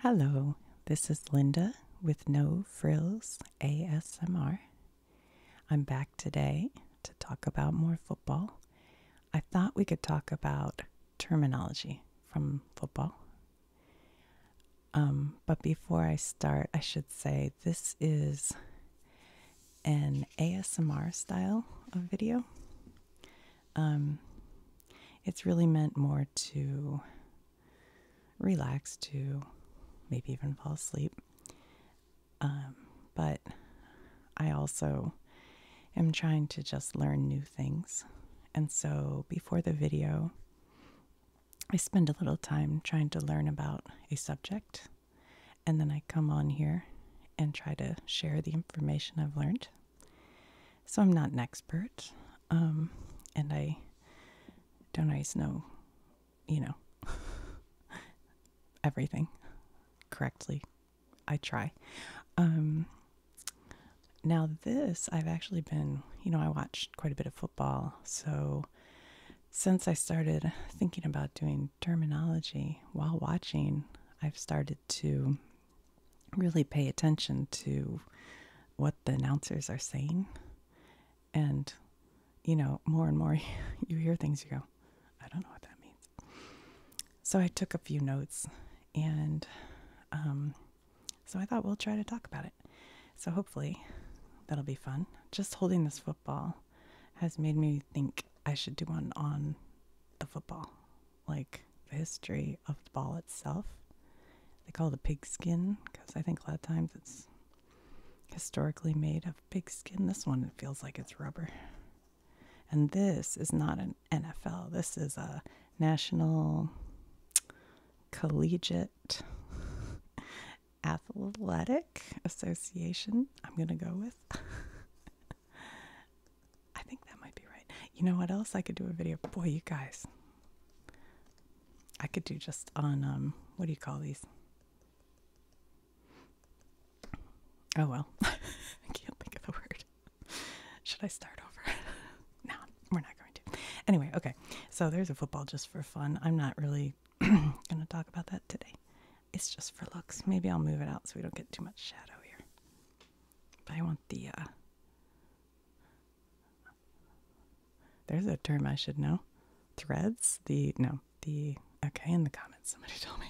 Hello, this is Linda with No Frills ASMR. I'm back today to talk about more football. I thought we could talk about terminology from football. Um, but before I start, I should say this is an ASMR style of video. Um, it's really meant more to relax, to maybe even fall asleep. Um, but I also am trying to just learn new things. And so before the video, I spend a little time trying to learn about a subject. And then I come on here and try to share the information I've learned. So I'm not an expert, um, and I don't always know, you know, everything correctly. I try. Um, now, this, I've actually been, you know, I watch quite a bit of football. So, since I started thinking about doing terminology while watching, I've started to really pay attention to what the announcers are saying. And, you know, more and more you hear things, you go, I don't know what that means. So I took a few notes and um, so I thought we'll try to talk about it. So hopefully that'll be fun. Just holding this football has made me think I should do one on the football like the history of the ball itself. They call it a pigskin because I think a lot of times it's historically made of pigskin. This one it feels like it's rubber. And this is not an NFL. This is a National Collegiate Athletic Association. I'm gonna go with. I think that might be right. You know what else? I could do a video. Boy, you guys. I could do just on, um, what do you call these? Oh well. I can't think of the word. Should I start over? no, we're not going to. Anyway, okay. So there's a football just for fun. I'm not really going to talk about that today. It's just for looks. Maybe I'll move it out so we don't get too much shadow here. But I want the, uh, there's a term I should know. Threads? The, no, the, okay, in the comments, somebody told me.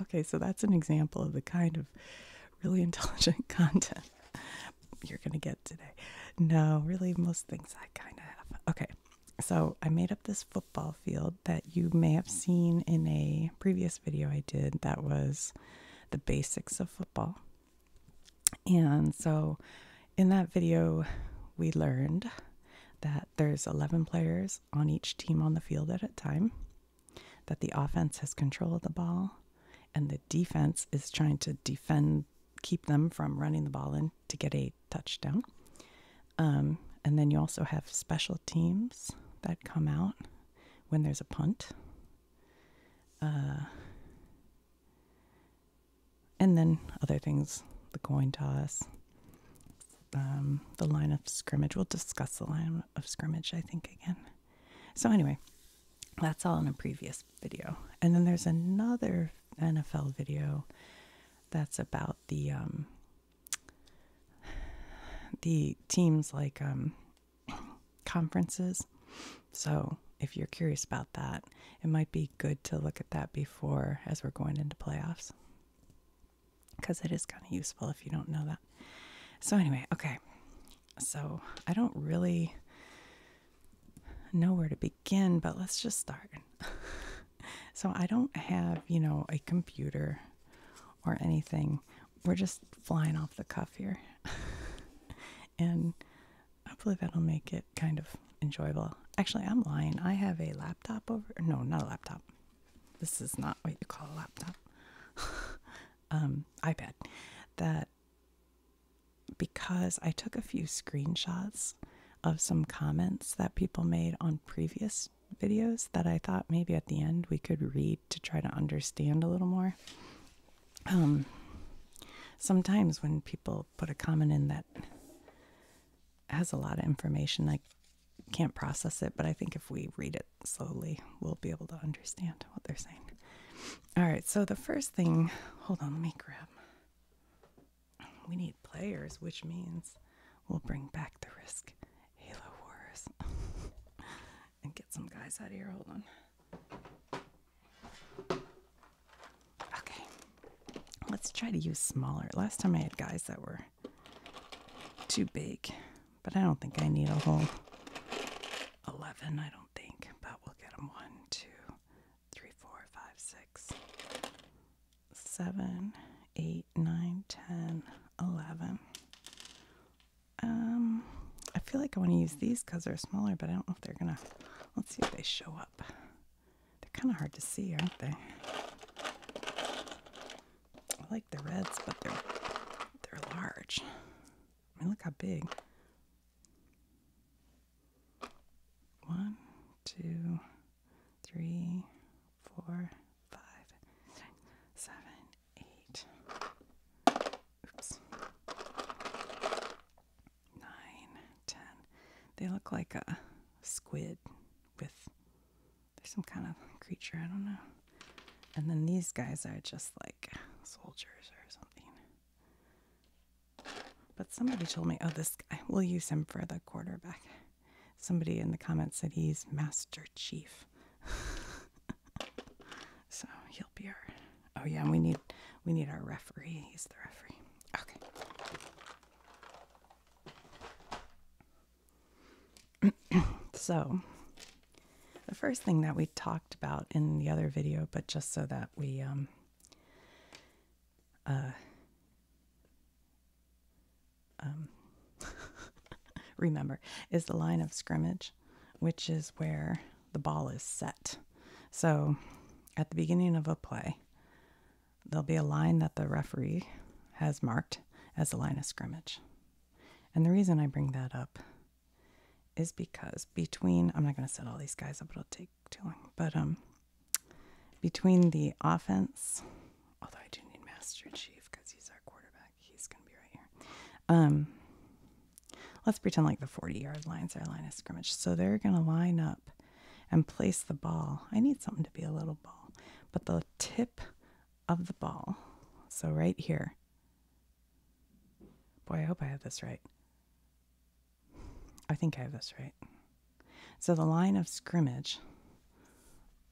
okay, so that's an example of the kind of really intelligent content you're going to get today. No, really, most things I kind of Okay, so I made up this football field that you may have seen in a previous video I did that was the basics of football. And so in that video, we learned that there's 11 players on each team on the field at a time, that the offense has control of the ball, and the defense is trying to defend, keep them from running the ball in to get a touchdown. Um, and then you also have special teams that come out when there's a punt. Uh, and then other things, the coin toss, um, the line of scrimmage. We'll discuss the line of scrimmage, I think, again. So, anyway, that's all in a previous video. And then there's another NFL video that's about the um, the teams like um, conferences. So, if you're curious about that, it might be good to look at that before as we're going into playoffs because it is kind of useful if you don't know that. So, anyway, okay. So, I don't really know where to begin, but let's just start. so, I don't have, you know, a computer or anything. We're just flying off the cuff here. and hopefully that'll make it kind of enjoyable. Actually, I'm lying. I have a laptop over. No, not a laptop. This is not what you call a laptop. um, iPad. That because I took a few screenshots of some comments that people made on previous videos that I thought maybe at the end we could read to try to understand a little more. Um, sometimes when people put a comment in that has a lot of information, I can't process it, but I think if we read it slowly, we'll be able to understand what they're saying. All right, so the first thing, hold on, let me grab. We need players, which means we'll bring back the risk Halo Wars. and get some guys out of here. Hold on. Okay, let's try to use smaller. Last time I had guys that were too big, but I don't think I need a whole 11. I don't think, but we'll get them one, two, three, four, five, six, seven, eight, nine, ten, eleven. Um, I feel like I want to use these because they're smaller, but I don't know if they're gonna. Let's see if they show up. They're kind of hard to see, aren't they? I like the reds, but they're they're large. I mean, look how big. One, two, three, four, five, six, seven, eight, nine, ten. They look like a squid with there's some kind of creature, I don't know. And then these guys are just like soldiers or something. But somebody told me, oh, this guy, will use him for the quarterback. Somebody in the comments said he's Master Chief. so he'll be our. Oh yeah, we need we need our referee. He's the referee. Okay. so the first thing that we talked about in the other video, but just so that we um uh, um remember, is the line of scrimmage, which is where the ball is set. So at the beginning of a play, there'll be a line that the referee has marked as the line of scrimmage. And the reason I bring that up is because between I'm not going to set all these guys up; it'll take too long. But um, between the offense, although I do need Master Chief because he's our quarterback, he's gonna be right here. Um, let's pretend like the 40 yard line's our line of scrimmage. So they're gonna line up and place the ball. I need something to be a little ball, but the tip of the ball, so right here. Boy, I hope I have this right. I think I have this right. So the line of scrimmage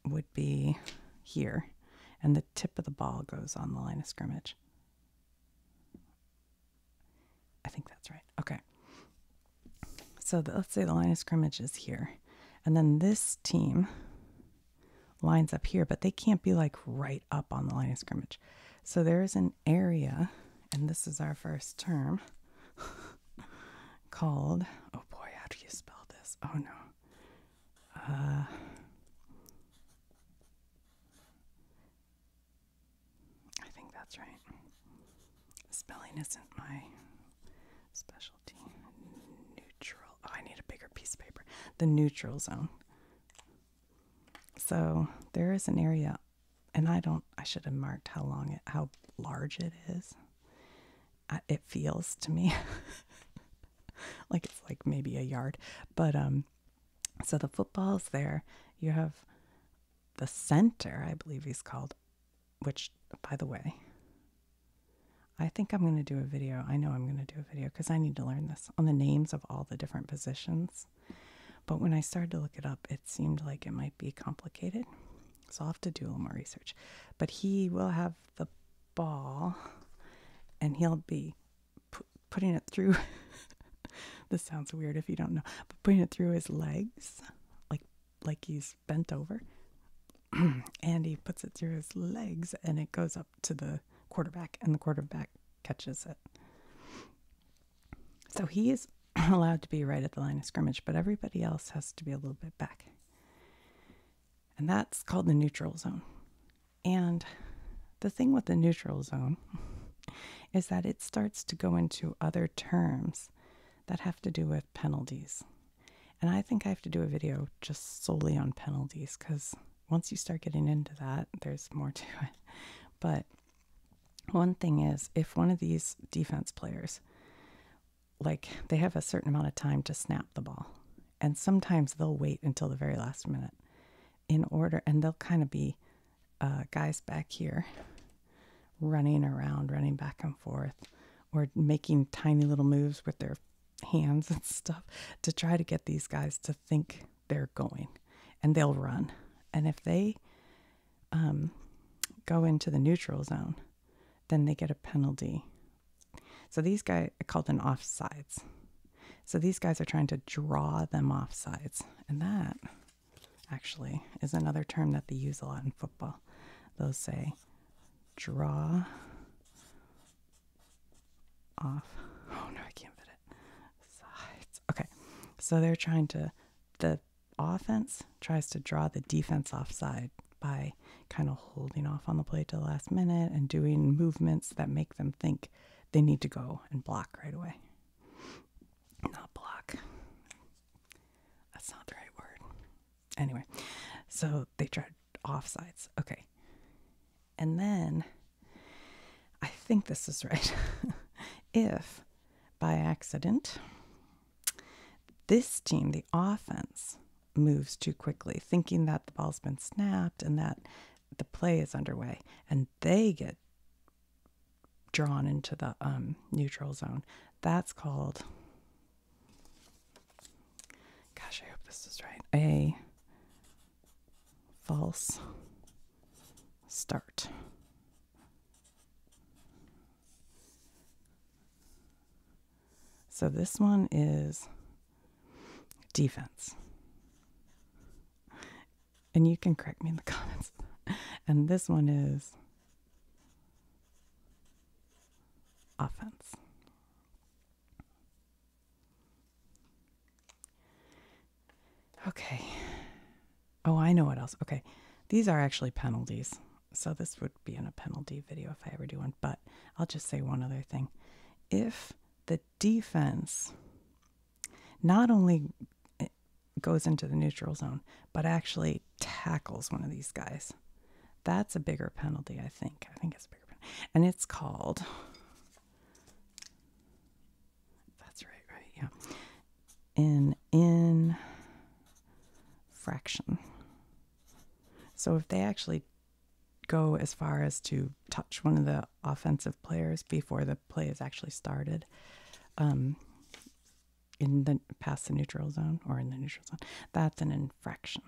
would be here, and the tip of the ball goes on the line of scrimmage. I think that's right. Okay. So let's say the line of scrimmage is here, and then this team lines up here, but they can't be like right up on the line of scrimmage. So there is an area, and this is our first term, called, oh boy, how do you spell this? Oh no. Uh, I think that's right. Spelling isn't my specialty. Neutral. Oh, I need a bigger piece of paper. The neutral zone. So there is an area, and I don't. I should have marked how long it, how large it is. Uh, it feels to me like it's like maybe a yard. But um so the football's there. You have the center, I believe he's called, which by the way, I think I'm going to do a video. I know I'm going to do a video because I need to learn this on the names of all the different positions. But when I started to look it up, it seemed like it might be complicated. So I'll have to do a little more research. But he will have the ball and he'll be putting it through. this sounds weird if you don't know, but putting it through his legs, like like he's bent over, and he puts it through his legs, and it goes up to the quarterback, and the quarterback catches it. So he is allowed to be right at the line of scrimmage, but everybody else has to be a little bit back. And that's called the neutral zone. And the thing with the neutral zone is that it starts to go into other terms that have to do with penalties. And I think I have to do a video just solely on penalties because once you start getting into that, there's more to it. But one thing is if one of these defense players, like they have a certain amount of time to snap the ball, and sometimes they'll wait until the very last minute in order and they'll kind of be uh, guys back here running around running back and forth or making tiny little moves with their hands and stuff to try to get these guys to think they're going and they'll run and if they um, go into the neutral zone then they get a penalty so these guys are called an offsides. So these guys are trying to draw them offsides. And that actually is another term that they use a lot in football. They'll say draw off. Oh no, I can't fit it. Sides. Okay. So they're trying to the offense tries to draw the defense offside by kind of holding off on the play to the last minute and doing movements that make them think they need to go and block right away. Not block. That's not the right word. Anyway, so they tried offsides. Okay. And then I think this is right. if by accident, this team, the offense, moves too quickly, thinking that the ball's been snapped and that the play is underway. And they get drawn into the um, neutral zone. That's called, gosh, I hope this is right, a false start. So this one is defense. And you can correct me in the comments. And this one is offense. Okay. Oh, I know what else. Okay. These are actually penalties. So this would be in a penalty video if I ever do one, but I'll just say one other thing. If the defense not only eh, goes into the neutral zone, but actually tackles one of these guys. That's a bigger penalty, I think. I think it's bigger And it's called, that's right, right, yeah, an infraction. So if they actually go as far as to touch one of the offensive players before the play is actually started um, in the past the neutral zone or in the neutral zone that's an infraction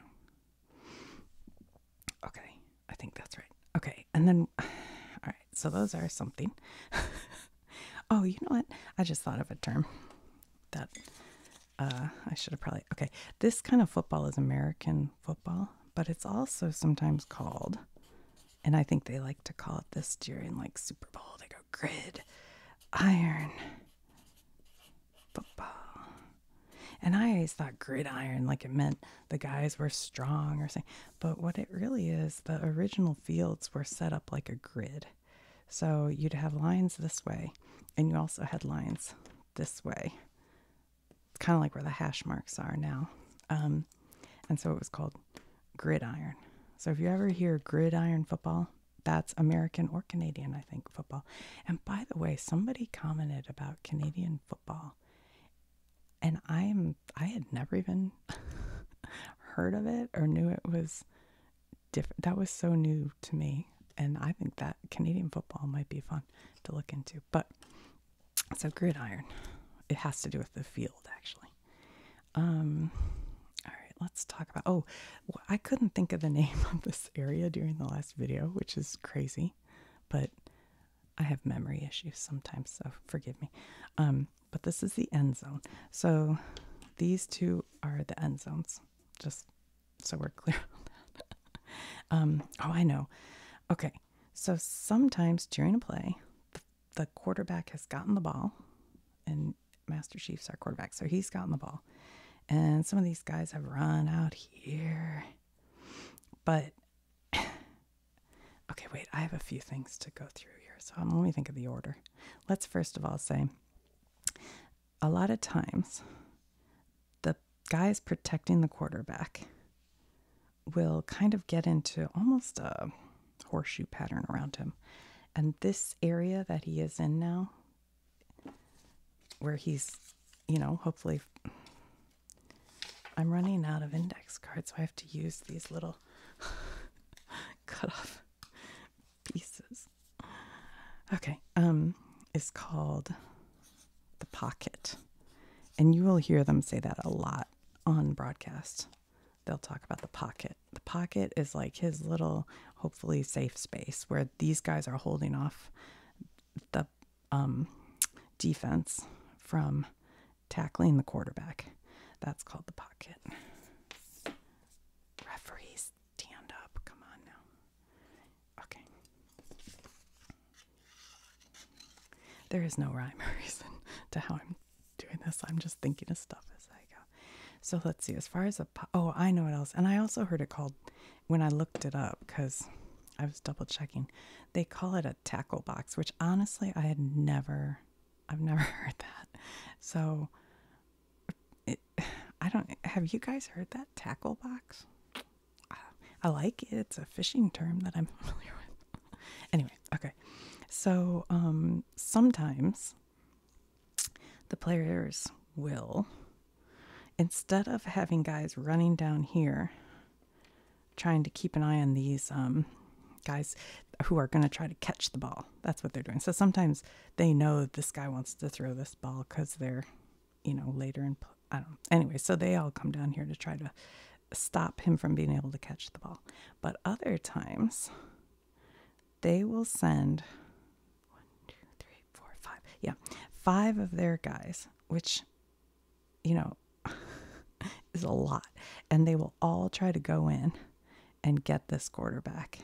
okay i think that's right okay and then all right so those are something oh you know what i just thought of a term that uh, i should have probably okay this kind of football is american football, but it's also sometimes called, and I think they like to call it this during like Super Bowl. They go grid, iron, football. And I always thought grid iron like it meant the guys were strong or something. But what it really is, the original fields were set up like a grid. So you'd have lines this way, and you also had lines this way it's kind of like where the hash marks are now. Um, and so it was called gridiron. So if you ever hear gridiron football, that's American or Canadian, I think, football. And by the way, somebody commented about Canadian football. And I am I had never even heard of it or knew it was different. That was so new to me. And I think that Canadian football might be fun to look into. But so gridiron, it has to do with the field actually. Um, all right, let's talk about. Oh, I couldn't think of the name of this area during the last video, which is crazy, but I have memory issues sometimes, so forgive me. Um, but this is the end zone. So these two are the end zones. Just so we're clear um, oh, I know. Okay. So sometimes during a play, the quarterback has gotten the ball, and Master Chief's our quarterback, so he's gotten the ball. And some of these guys have run out here. But, okay, wait, I have a few things to go through here. So um, let me think of the order. Let's first of all say a lot of times the guys protecting the quarterback will kind of get into almost a horseshoe pattern around him. And this area that he is in now, where he's, you know, hopefully, I'm running out of index cards, so I have to use these little cut off pieces. Okay, um, is called the pocket. And you will hear them say that a lot on broadcast. They'll talk about the pocket. The pocket is like his little, hopefully, safe space where these guys are holding off the um, defense from tackling the quarterback. That's called the pocket. Referees, stand up. Come on now. Okay. There is no rhyme or reason to how I'm doing this. I'm just thinking of stuff as I go. So let's see. As far as a oh, I know what else. And I also heard it called when I looked it up because I was double checking. They call it a tackle box, which honestly I had never. I've never heard that. So it, I don't. Have you guys heard that tackle box? I, like it. It's a fishing term that I'm familiar with. anyway, okay. So um, sometimes the players will, instead of having guys running down here, trying to keep an eye on these um, guys who are going to try to catch the ball. That's what they're doing. So sometimes they know this guy wants to throw this ball because they're you know, later in, I don't know. Anyway, so they all come down here to try to stop him from being able to catch the ball. But other times, they will send one, two, three, four, five. Yeah, five of their guys, which, you know, is a lot. And they will all try to go in and get this quarterback.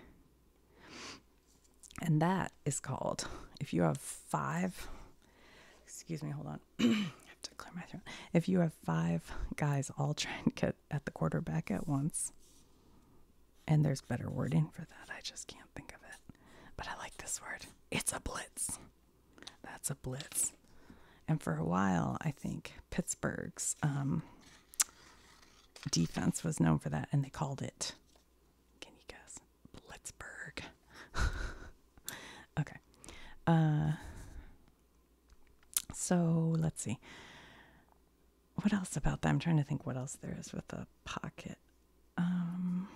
And that is called, if you have five excuse me, hold on. I have to clear my throat. If you have five guys all trying to get at the quarterback at once, and there's better wording for that, I just can't think of it. But I like this word. It's a blitz. That's a blitz. And for a while, I think Pittsburgh's um, defense was known for that, and they called it. Can you guess? Blitzburg. okay. Uh, so let's see. What else about that? I'm trying to think what else there is with the pocket. Um,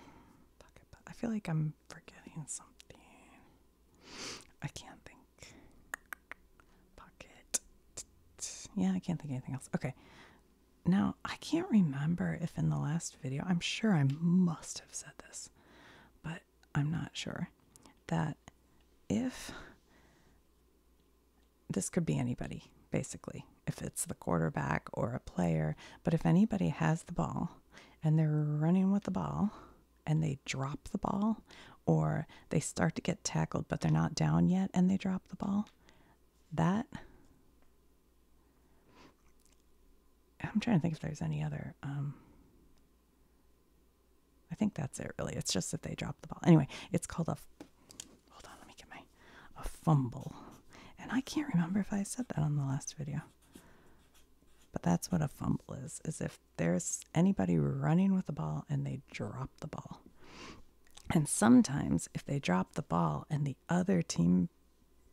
pocket. I feel like I'm forgetting something. I can't think. Pocket. Yeah, I can't think anything else. Okay. Now, I can't remember if in the last video, I'm sure I must have said this, but I'm not sure that if this could be anybody, basically, if it's the quarterback or a player, but if anybody has the ball and they're running with the ball and they drop the ball or they start to get tackled but they're not down yet and they drop the ball, that I'm trying to think if there's any other. Um, I think that's it, really. It's just that they dropped the ball. Anyway, it's called a. Hold on, let me get my a fumble, and I can't remember if I said that on the last video. But that's what a fumble is: is if there's anybody running with the ball and they drop the ball. And sometimes, if they drop the ball and the other team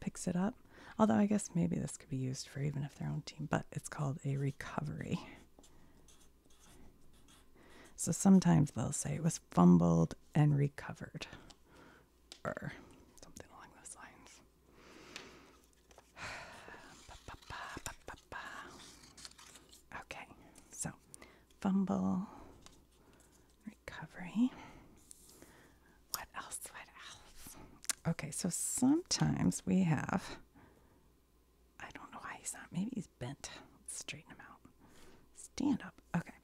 picks it up. Although I guess maybe this could be used for even if their own team, but it's called a recovery. So sometimes they'll say it was fumbled and recovered or er, something along those lines. Okay, so fumble recovery. What else? What else? Okay, so sometimes we have, I don't know why he's not, maybe he's bent. let straighten him out. Stand up. Okay.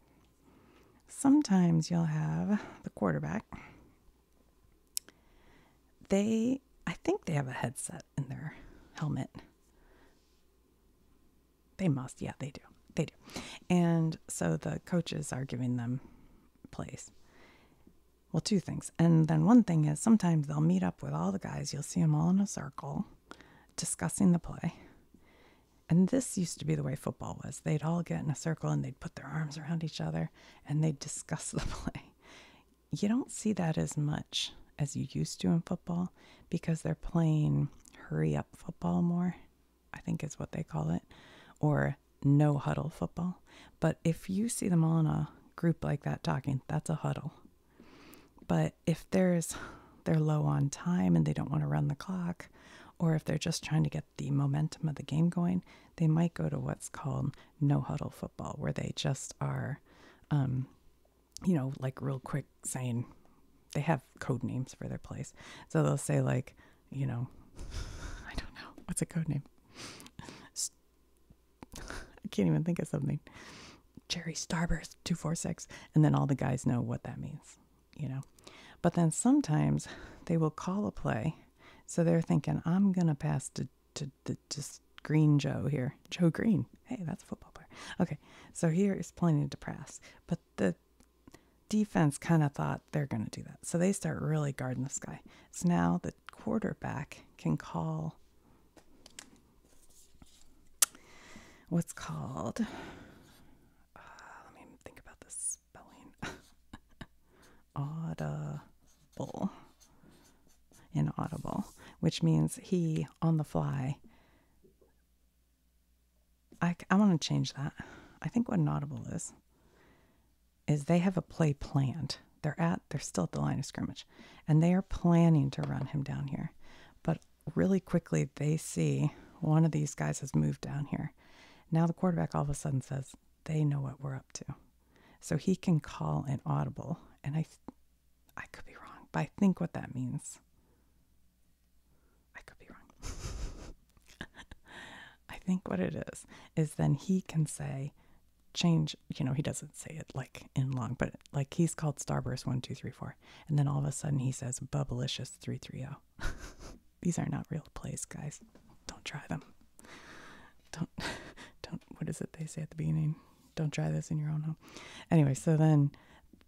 Sometimes you'll have the quarterback. They, I think they have a headset in their helmet. They must, yeah, they do. They do. And so the coaches are giving them plays. Well, two things. And then one thing is sometimes they'll meet up with all the guys. You'll see them all in a circle discussing the play. And this used to be the way football was. They'd all get in a circle and they'd put their arms around each other and they'd discuss the play. You don't see that as much as you used to in football because they're playing hurry up football more I think is what they call it, or no huddle football. But if you see them on a group like that talking, that's a huddle. But if there's they're low on time and they don't want to run the clock, or if they're just trying to get the momentum of the game going, they might go to what's called no huddle football, where they just are, um, you know, like real quick saying they have code names for their place. So they'll say, like, you know, I don't know. What's a code name? I can't even think of something. Cherry Starburst 246. And then all the guys know what that means, you know. But then sometimes they will call a play. So they're thinking, I'm going to pass to, to, to just Green Joe here. Joe Green. Hey, that's a football player. Okay, so here is plenty to pass. But the defense kind of thought they're going to do that. So they start really guarding this guy. So now the quarterback can call what's called. Uh, let me think about the spelling. audible. Inaudible, which means he on the fly I, I want to change that. I think what an audible is, is they have a play planned. They're at, they're still at the line of scrimmage, and they are planning to run him down here. But really quickly, they see one of these guys has moved down here. Now the quarterback all of a sudden says, they know what we're up to. So he can call an audible, and I, I could be wrong, but I think what that means I could be wrong. I think what it is is then he can say, change, you know, he doesn't say it like in long, but like he's called Starburst 1234. And then all of a sudden he says Bubblicious 330. These are not real plays, guys. Don't try them. Don't, don't, what is it they say at the beginning? Don't try this in your own home. Anyway, so then,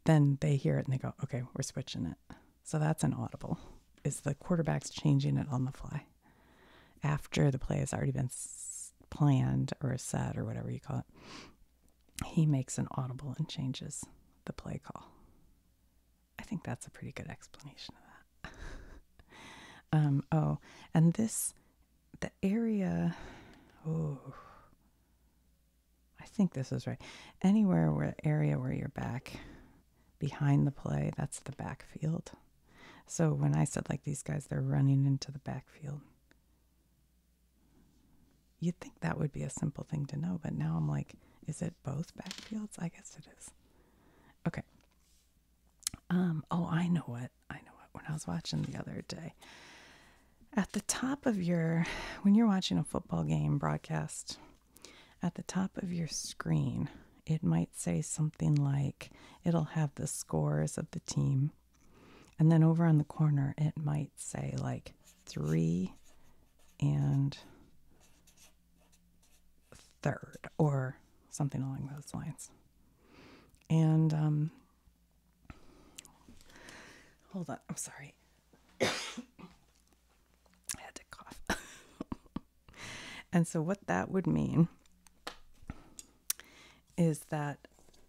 then they hear it and they go, okay, we're switching it. So that's an audible. Is the quarterback's changing it on the fly after the play has already been planned or set or whatever you call it? He makes an audible and changes the play call. I think that's a pretty good explanation of that. Um, oh, and this, the area, oh, I think this is right. Anywhere where area where you're back behind the play, that's the backfield. So when I said like these guys, they're running into the backfield. You'd think that would be a simple thing to know, but now I'm like, is it both backfields? I guess it is. Okay. Um, oh, I know what. I know what. When I was watching the other day, at the top of your, when you're watching a football game broadcast, at the top of your screen, it might say something like it'll have the scores of the team. And then over on the corner, it might say like three and third or something along those lines. And um, hold on, I'm sorry. I had to cough. and so, what that would mean is that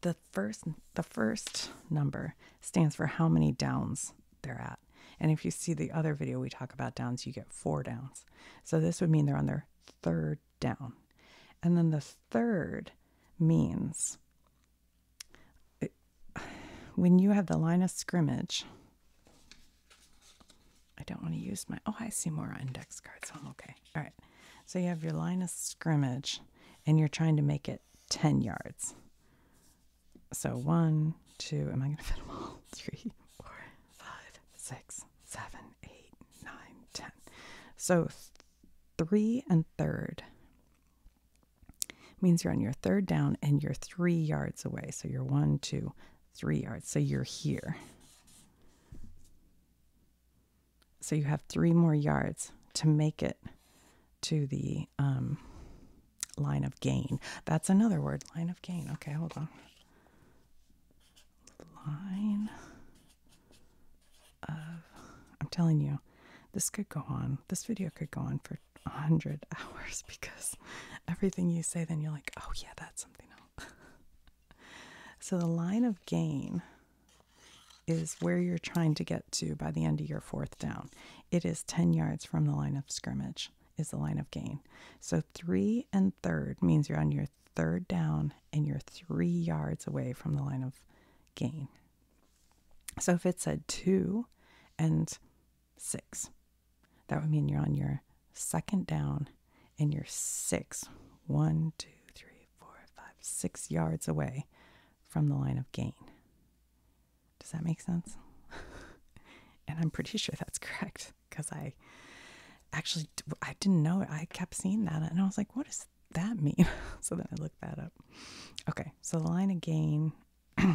the first the first number stands for how many downs they're at. And if you see the other video we talk about downs, you get four downs. So this would mean they're on their third down. And then the third means when you have the line of scrimmage, I don't want to use my, oh, I see more index cards. so I'm okay. All right. So you have your line of scrimmage and you're trying to make it 10 yards. So one, two, am I going to fit them all? Three, four, five, six, seven, eight, nine, ten. So three and third means you're on your third down and you're three yards away. So you're one, two, three yards. So you're here. So you have three more yards to make it to the um, line of gain. That's another word, line of gain. Okay, hold on. Line of, I'm telling you, this could go on. This video could go on for 100 hours because everything you say, then you're like, oh, yeah, that's something so the line of gain is where you're trying to get to by the end of your fourth down. It is 10 yards from the line of scrimmage, is the line of gain. So three and third means you're on your third down and you're three yards away from the line of gain. So if it said two and six, that would mean you're on your second down and you're six, one, two, three, four, five, six yards away from the line of gain. Does that make sense? and I'm pretty sure that's correct because I actually I didn't know it. I kept seeing that and I was like, what does that mean? so then I looked that up. Okay, so the line of gain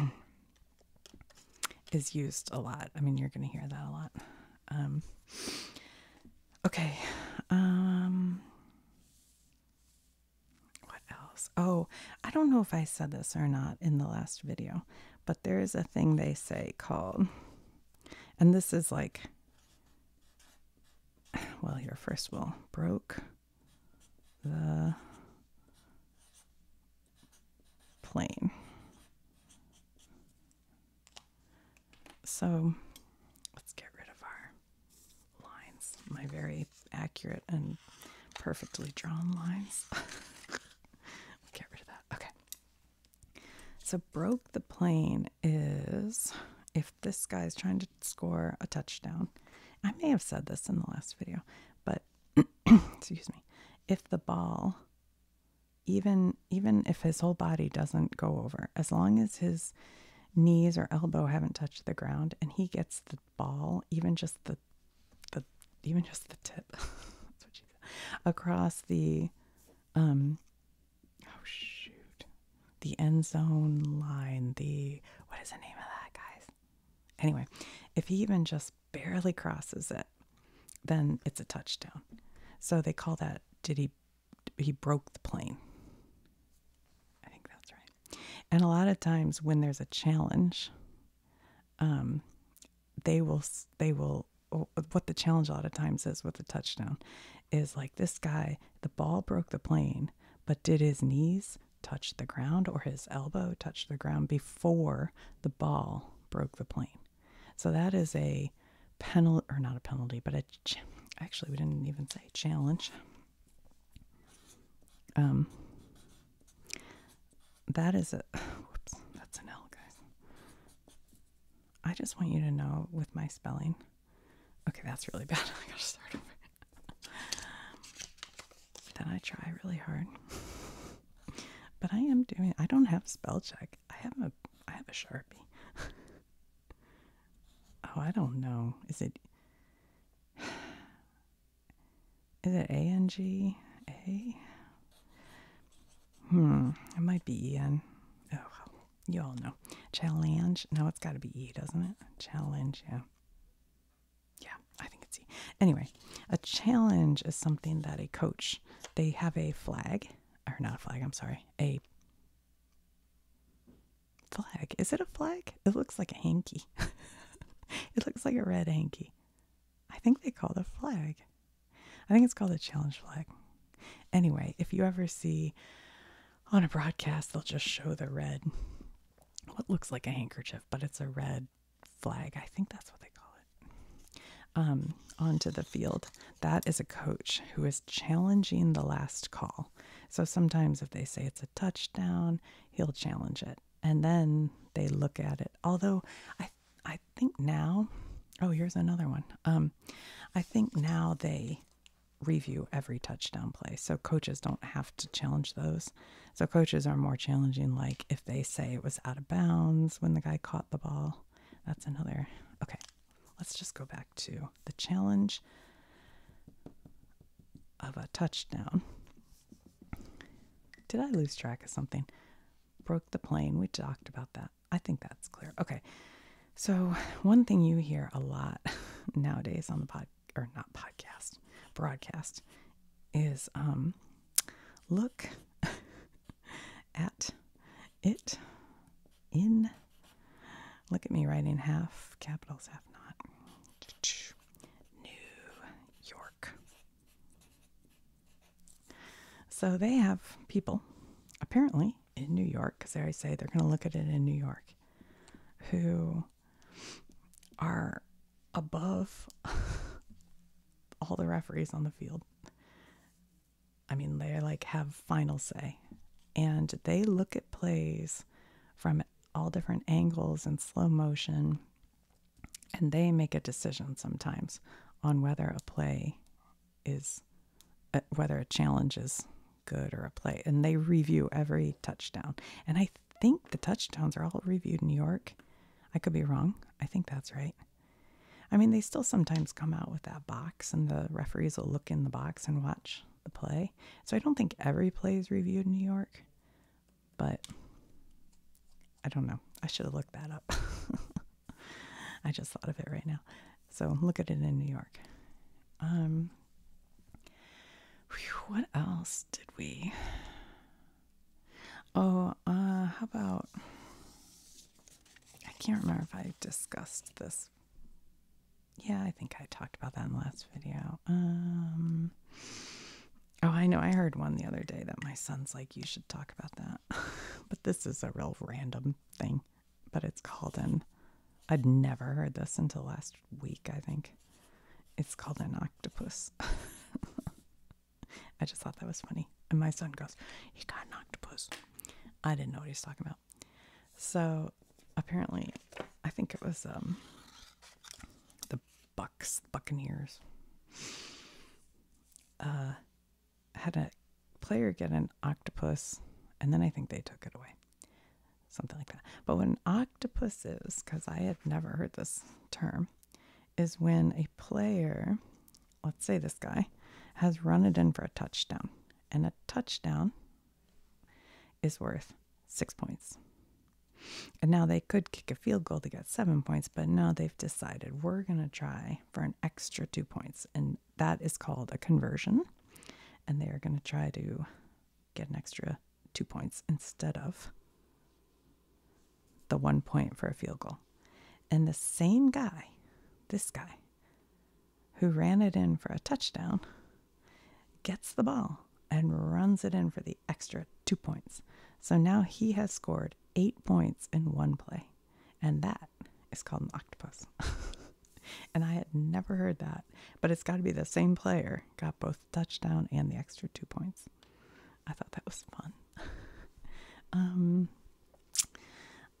is used a lot. I mean, you're going to hear that a lot. Um, okay. Um, what else? Oh, I don't know if I said this or not in the last video, but there is a thing they say called, and this is like, well, your first will broke the plane. So let's get rid of our lines, my very accurate and perfectly drawn lines. get rid of that. Okay. So broke the plane is if this guy is trying to score a touchdown. I may have said this in the last video, but excuse me, if the ball, even even if his whole body doesn't go over, as long as his knees or elbow haven't touched the ground, and he gets the ball, even just the the even just the tip, across the um oh shoot the end zone line the what is the name of that guys Anyway, if he even just barely crosses it, then it's a touchdown. So they call that did he he broke the plane. I think that's right. And a lot of times when there's a challenge, um, they will they will what the challenge a lot of times is with the touchdown is like this guy the ball broke the plane but did his knees Touch the ground or his elbow touch the ground before the ball broke the plane. So that is a penalty, or not a penalty, but a actually, we didn't even say challenge. Um, that is a whoops, that's an L, guys. I just want you to know with my spelling. Okay, that's really bad. I gotta start over. Then I try really hard. but I am doing I don't have spell check. I have a I have a Sharpie. oh, I don't know. Is it Is it A N G A? Hmm, it might be Ian. Oh, you all know. Challenge. No, it's got to be E, doesn't it? Challenge, yeah yeah, I think it's E. Anyway, a challenge is something that a coach, they have a flag, or not a flag, I'm sorry, a flag. Is it a flag? It looks like a hanky. it looks like a red hanky. I think they call it a flag. I think it's called a challenge flag. Anyway, if you ever see on a broadcast, they'll just show the red, what looks like a handkerchief but it's a red flag. I think that's what they call it. Um, onto the field. That is a coach who is challenging the last call. So sometimes if they say it's a touchdown, he'll challenge it. And then they look at it. Although I I think now, oh, here's another one. Um, I think now they review every touchdown play. So coaches don't have to challenge those. So coaches are more challenging, like if they say it was out of bounds when the guy caught the ball. That's another. Okay, let's just go back to the challenge of a touchdown. Did I lose track of something? Broke the plane. We talked about that. I think that's clear. Okay. So, one thing you hear a lot nowadays on the podcast or not podcast broadcast is um look at it in look at me writing half capitals half not New York so they have people apparently in New York because they say they're going to look at it in New York who are above all the referees on the field. I mean, they like have final say and they look at plays from all different angles and slow motion and they make a decision sometimes on whether a play is uh, whether a challenge is good or a play and they review every touchdown and i think the touchdowns are all reviewed in New York. I could be wrong. I think that's right. I mean, they still sometimes come out with that box, and the referees will look in the box and watch the play. So I don't think every play is reviewed in New York, but I don't know. I should have looked that up. I just thought of it right now. So look at it in New York. Um, what else? did we? Oh, uh, how about. I can't remember if I discussed this. Yeah, I think I talked about that in the last video. Um, oh, I know. I heard one the other day that my son's like, you should talk about that. but this is a real random thing. But it's called in. I'd never heard this until last week, I think. It's called an octopus. I just thought that was funny. And my son goes, He got an octopus. I didn't know what he was talking about. So apparently, I think it was um, the Bucks, Buccaneers, uh, had a player get an octopus, and then I think they took it away something like that. But what an octopus is, because I had never heard this term, is when a player, let's say this guy, has run it in for a touchdown, and a touchdown is worth six points. And now they could kick a field goal to get seven points, but now they've decided we're going to try for an extra two points. And that is called a conversion. And they are going to try to get an extra two points instead of the one point for a field goal. And the same guy, this guy, who ran it in for a touchdown, gets the ball and runs it in for the extra two points. So now he has scored eight points in one play. And that is called an octopus. and I had never heard that, but it's got to be the same player got both touchdown and the extra two points. I thought that was fun. um,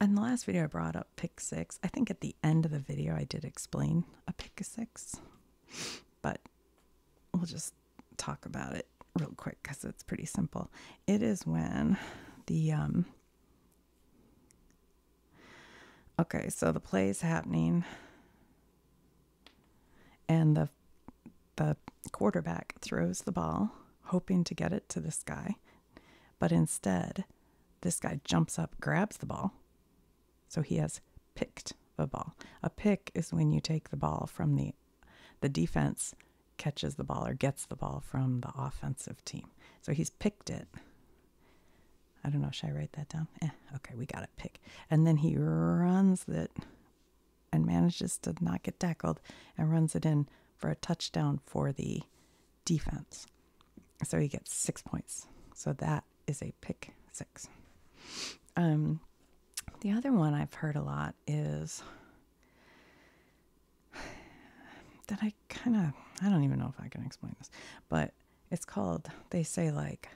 in the last video, I brought up pick six. I think at the end of the video, I did explain a pick six, but we'll just talk about it real quick because it's pretty simple. It is when the um, okay, so the play is happening and the the quarterback throws the ball, hoping to get it to this guy, but instead, this guy jumps up, grabs the ball, so he has picked the ball. A pick is when you take the ball from the the defense catches the ball or gets the ball from the offensive team. So he's picked it. I don't know, should I write that down? Eh, okay, we got it pick. And then he runs it and manages to not get tackled and runs it in for a touchdown for the defense. So he gets six points. So that is a pick six. Um, the other one I've heard a lot is that I kind of, I don't even know if I can explain this, but it's called, they say like,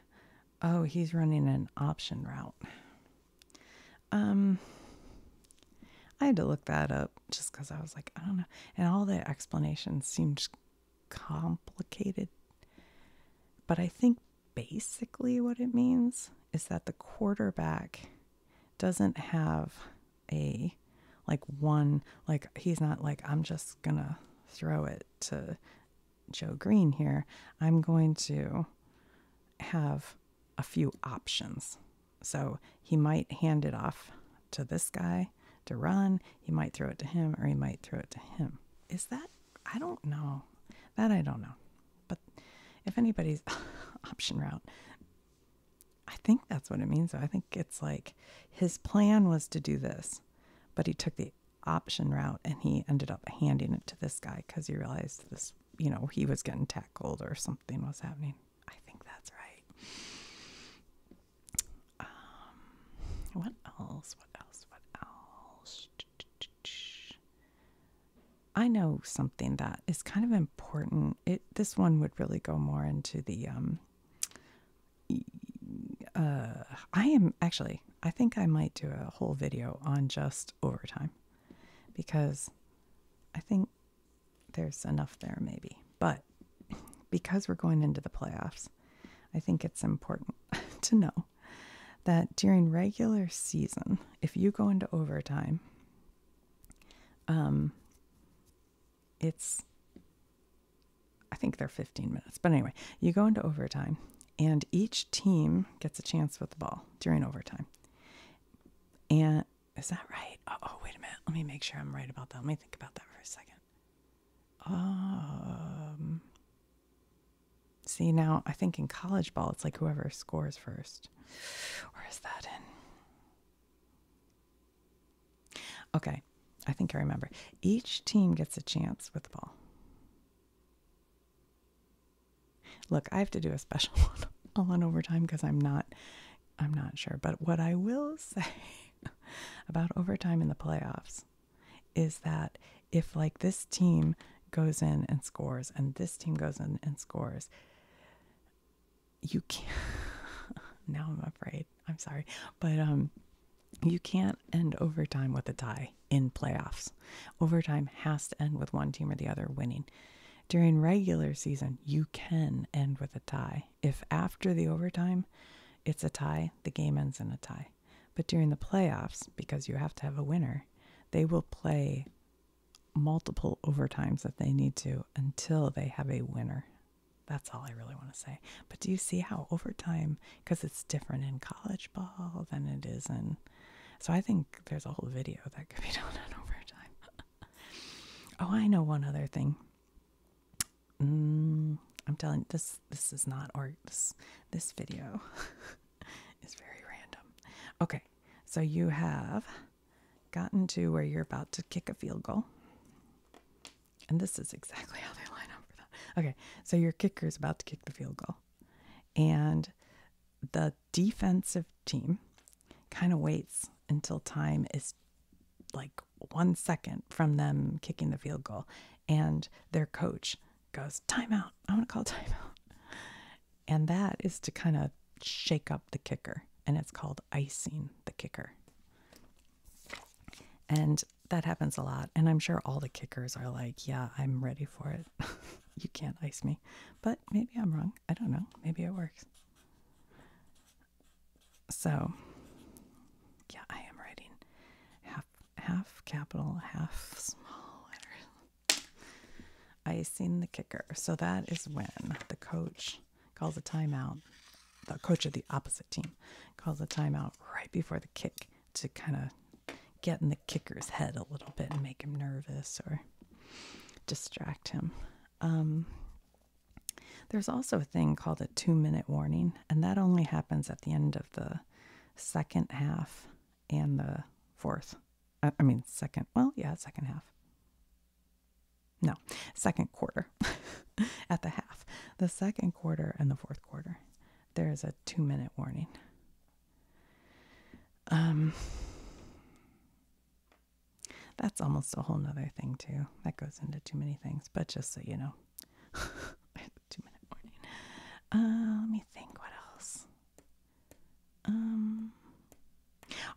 Oh, he's running an option route. Um, I had to look that up just because I was like, I don't know. And all the explanations seemed complicated. But I think basically what it means is that the quarterback doesn't have a like one, like, he's not like, I'm just gonna throw it to Joe Green here, I'm going to have a few options. So he might hand it off to this guy to run, he might throw it to him, or he might throw it to him. Is that? I don't know. That I don't know. But if anybody's option route, I think that's what it means. I think it's like his plan was to do this, but he took the option route and he ended up handing it to this guy because he realized this, you know, he was getting tackled or something was happening. I think that's right. Um, what else? What else? What else? I know something that is kind of important. It this one would really go more into the um. Uh, I am actually I think I might do a whole video on just overtime because I think there's enough there, maybe. But because we're going into the playoffs, I think it's important to know that during regular season, if you go into overtime, um, it's I think they're 15 minutes, but anyway, you go into overtime and each team gets a chance with the ball during overtime. And is that right? Oh, wait a minute. Let me make sure I'm right about that. Let me think about that for a second. Um, see now, I think in college ball, it's like whoever scores first. Or that in? Okay, I think I remember. Each team gets a chance with the ball. Look, I have to do a special one all on overtime because I'm not I'm not sure. But what I will say about overtime in the playoffs is that if like this team goes in and scores and this team goes in and scores, you can't now I'm afraid. I'm sorry. But um you can't end overtime with a tie in playoffs. Overtime has to end with one team or the other winning. During regular season, you can end with a tie. If after the overtime it's a tie, the game ends in a tie. But during the playoffs, because you have to have a winner, they will play multiple overtimes if they need to until they have a winner. That's all I really want to say. But do you see how overtime because it's different in college ball than it is in. So I think there's a whole video that could be done on overtime. oh, I know one other thing. Mm, I'm telling this this is not or this this video is very random. Okay, so you have gotten to where you're about to kick a field goal. And this is exactly how they line up for that. Okay, so your kicker is about to kick the field goal. And the defensive team kind of waits until time is like one second from them kicking the field goal. And their coach goes, Timeout. I want to call timeout. And that is to kind of shake up the kicker. And it's called icing the kicker. And that happens a lot. And I'm sure all the kickers are like, yeah, I'm ready for it. you can't ice me. But maybe I'm wrong. I don't know. Maybe it works. So, yeah, I am writing half half capital, half small letters. Icing the kicker. So that is when the coach calls a timeout. The coach of the opposite team calls a timeout right before the kick to kind of get in the kicker's head a little bit and make him nervous or distract him. Um, there's also a thing called a two minute warning, and that only happens at the end of the second half and the fourth. Uh, I mean, second, well, yeah, second half. No, second quarter at the half, the second quarter and the fourth quarter. There is a two minute warning. Um, that's almost a whole nother thing, too. That goes into too many things, but just so you know, two minute warning. Uh, let me think what else. Um,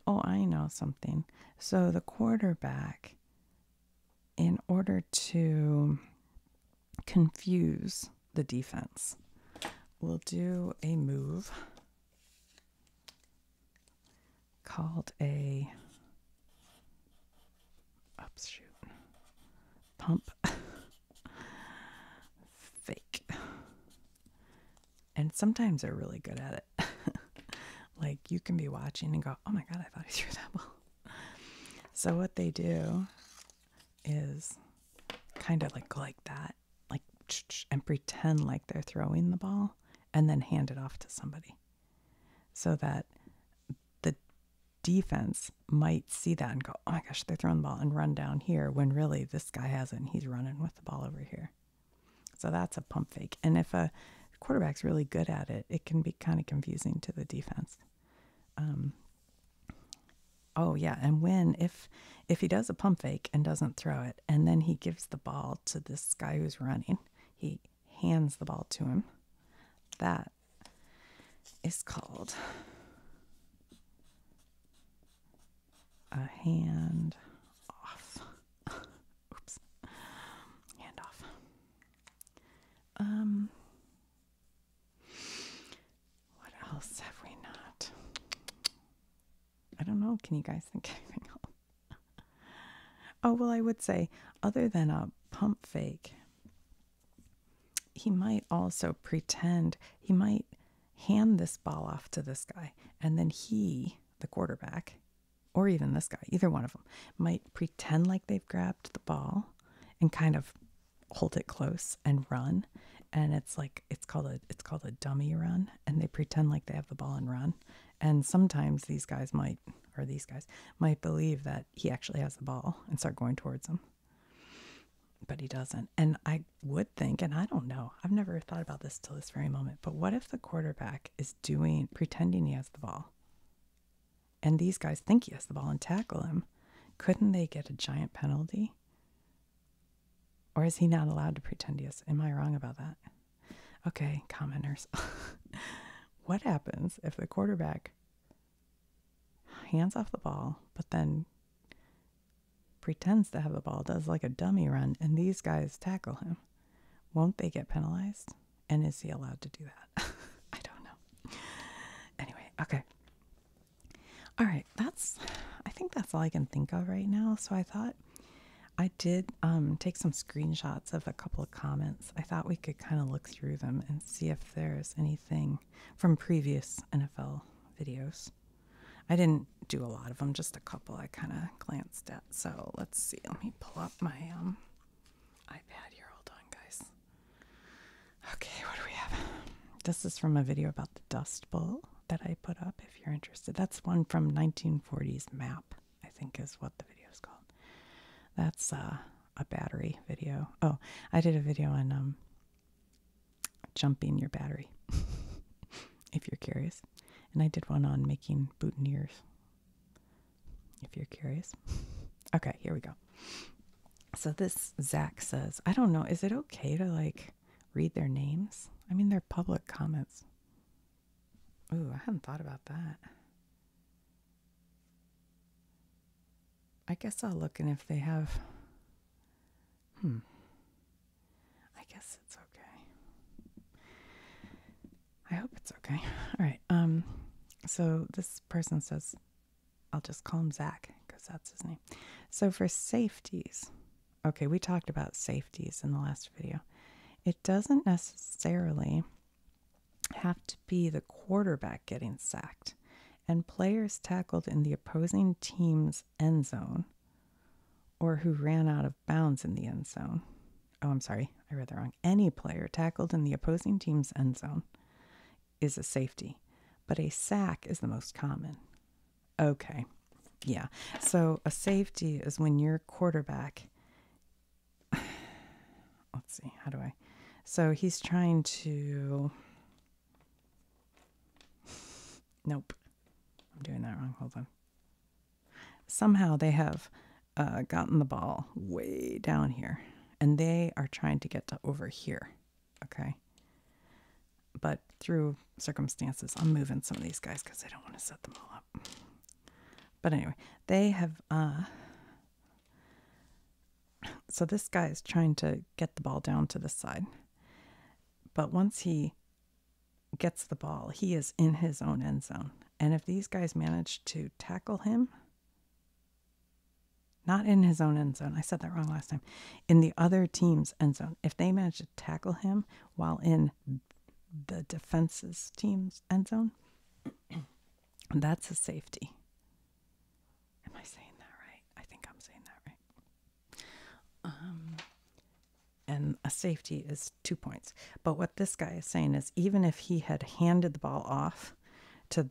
oh, I know something. So the quarterback, in order to confuse the defense. We'll do a move called a upshoot pump fake. And sometimes they're really good at it. like you can be watching and go, oh my God, I thought he threw that ball. So what they do is kind of like like that, like and pretend like they're throwing the ball and then hand it off to somebody so that the defense might see that and go, oh my gosh, they're throwing the ball and run down here when really this guy has not he's running with the ball over here. So that's a pump fake. And if a quarterback's really good at it, it can be kind of confusing to the defense. Um, Oh yeah, and when if if he does a pump fake and doesn't throw it, and then he gives the ball to this guy who's running, he hands the ball to him. That is called a hand off. Oops. Hand off. Um what else have we not? I don't know. Can you guys think anything else? oh, well, I would say, other than a pump fake, he might also pretend, he might hand this ball off to this guy, and then he, the quarterback, or even this guy, either one of them, might pretend like they've grabbed the ball and kind of hold it close and run and it's like it's called a it's called a dummy run and they pretend like they have the ball and run and sometimes these guys might or these guys might believe that he actually has the ball and start going towards him but he doesn't and i would think and i don't know i've never thought about this till this very moment but what if the quarterback is doing pretending he has the ball and these guys think he has the ball and tackle him, couldn't they get a giant penalty? Or is he not allowed to pretend he is? Am I wrong about that? Okay, commenters. what happens if the quarterback hands off the ball, but then pretends to have the ball, does like a dummy run, and these guys tackle him? Won't they get penalized? And is he allowed to do that? I don't know. Anyway, okay. All right, that's I think that's all I can think of right now. So I thought I did um, take some screenshots of a couple of comments. I thought we could kind of look through them and see if there's anything from previous NFL videos. I didn't do a lot of them, just a couple I kind of glanced at. So let's see. Let me pull up my um, iPad here. Hold on, guys. Okay, what do we have? This is from a video about the Dust Bowl that I put up if you're interested. That's one from 1940s map, I think is what the video is called. That's uh, a battery video. Oh, I did a video on um, jumping your battery, if you're curious. And I did one on making boutonnieres, if you're curious. Okay, here we go. So this Zach says, I don't know, is it okay to like read their names? I mean, they're public comments. Ooh, I hadn't thought about that. I guess I'll look and if they have. Hmm. I guess it's okay. I hope it's okay. All right. Um so this person says I'll just call him Zach because that's his name. So for safeties, okay, we talked about safeties in the last video. It doesn't necessarily have to be the quarterback getting sacked, and players tackled in the opposing team's end zone or who ran out of bounds in the end zone. Oh, I'm sorry, I read that wrong. Any player tackled in the opposing team's end zone is a safety, but a sack is the most common. Okay, yeah. So a safety is when your quarterback, let's see, how do I? So he's trying to, nope, I'm doing that wrong. Hold on. Somehow they have uh, gotten the ball way down here and they are trying to get to over here. Okay. But through circumstances, I'm moving some of these guys because I don't want to set them all up. But anyway, they have. Uh, so this guy is trying to get the ball down to the side. But once he gets the ball, he is in his own end zone. And if these guys manage to tackle him, not in his own end zone. I said that wrong last time. In the other team's end zone. If they manage to tackle him while in the defense's team's end zone, that's a safety. Am I saying that right? I think I'm saying that right. Um, and a safety is two points. But what this guy is saying is even if he had handed the ball off to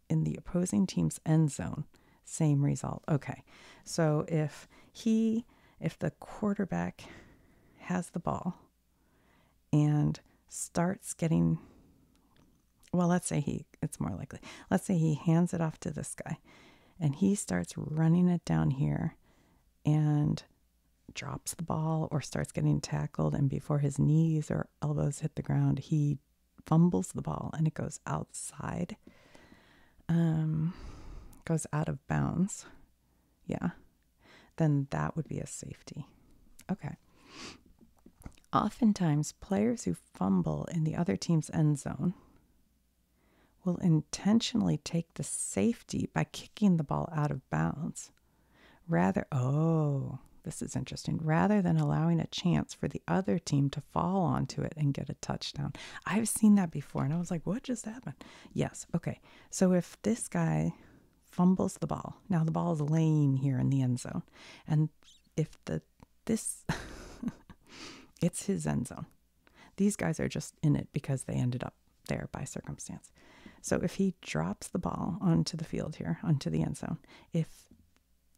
in the opposing team's end zone. Same result. Okay. So if he, if the quarterback has the ball and starts getting, well, let's say he, it's more likely, let's say he hands it off to this guy and he starts running it down here and drops the ball or starts getting tackled. And before his knees or elbows hit the ground, he fumbles the ball and it goes outside. Um, goes out of bounds. Yeah. Then that would be a safety. Okay. Oftentimes, players who fumble in the other team's end zone will intentionally take the safety by kicking the ball out of bounds. Rather, oh, this is interesting. Rather than allowing a chance for the other team to fall onto it and get a touchdown. I've seen that before and I was like, what just happened? Yes. Okay. So if this guy fumbles the ball, now the ball is laying here in the end zone. And if the this it's his end zone. These guys are just in it because they ended up there by circumstance. So if he drops the ball onto the field here, onto the end zone, if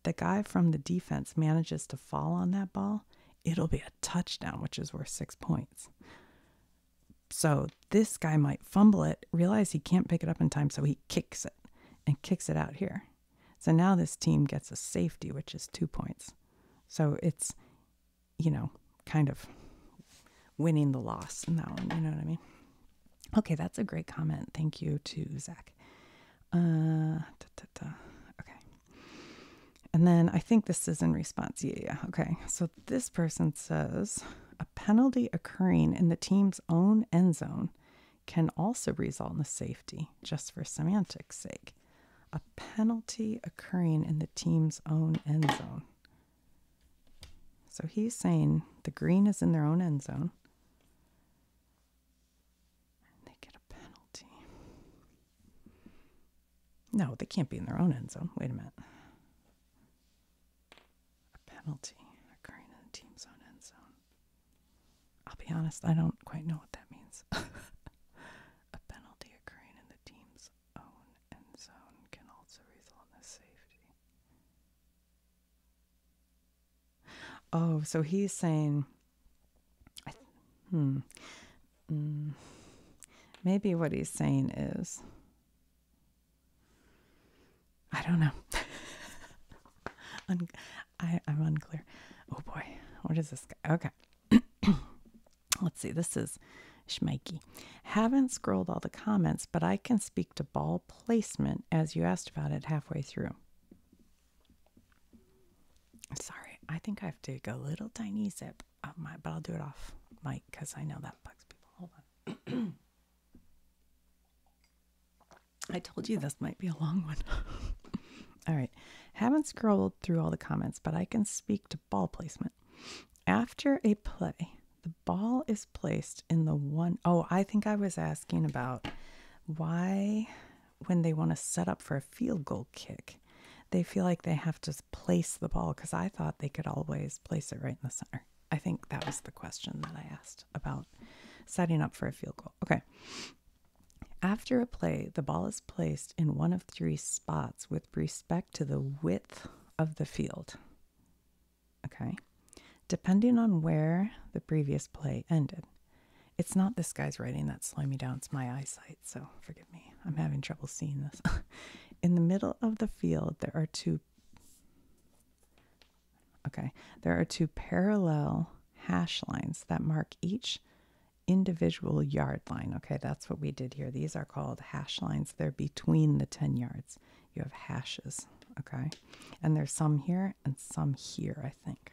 the guy from the defense manages to fall on that ball, it'll be a touchdown, which is worth six points. So this guy might fumble it, realize he can't pick it up in time, so he kicks it and kicks it out here. So now this team gets a safety, which is two points. So it's, you know, kind of winning the loss in that one. You know what I mean? Okay, that's a great comment. Thank you to Zach. Uh, Okay. And then I think this is in response. Yeah, yeah. Okay. So this person says a penalty occurring in the team's own end zone can also result in a safety, just for semantics' sake. A penalty occurring in the team's own end zone. So he's saying the green is in their own end zone. They get a penalty. No, they can't be in their own end zone. Wait a minute. A penalty occurring in the team's own end zone. I'll be honest, I don't quite know what that means. a penalty occurring in the team's own end zone can also result in a safety. Oh, so he's saying, hmm, mm, maybe what he's saying is, I don't know. I, I'm unclear. Oh boy, what is this guy? Okay. Let's see, this is Schmikey. Haven't scrolled all the comments, but I can speak to ball placement as you asked about it halfway through. Sorry, I think I have to go a little tiny zip. my, but I'll do it off mic because I know that bugs people. Hold on. I told you this might be a long one. all right. Haven't scrolled through all the comments, but I can speak to ball placement. After a play, the ball is placed in the one oh, I think I was asking about why when they want to set up for a field goal kick. They feel like they have to place the ball because I thought they could always place it right in the center. I think that was the question that I asked about setting up for a field goal. Okay. After a play, the ball is placed in one of three spots with respect to the width of the field. Okay. Depending on where the previous play ended. It's not this guy's writing that's slowing me down, it's my eyesight, so forgive me. I'm having trouble seeing this. In the middle of the field, there are two. Okay, there are two parallel hash lines that mark each individual yard line. Okay, that's what we did here. These are called hash lines. They're between the 10 yards. You have hashes, okay? And there's some here and some here, I think.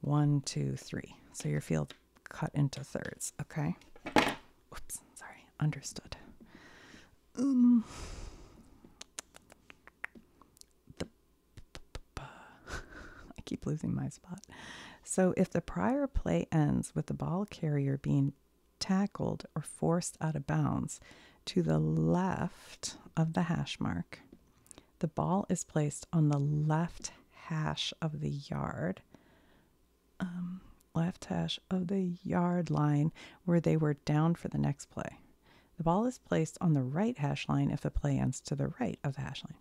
one, two, three. So your field cut into thirds, okay? Oops, sorry, understood. Um, the, I keep losing my spot. So if the prior play ends with the ball carrier being tackled or forced out of bounds to the left of the hash mark, the ball is placed on the left hash of the yard, um, left hash of the yard line where they were down for the next play. The ball is placed on the right hash line if the play ends to the right of the hash line.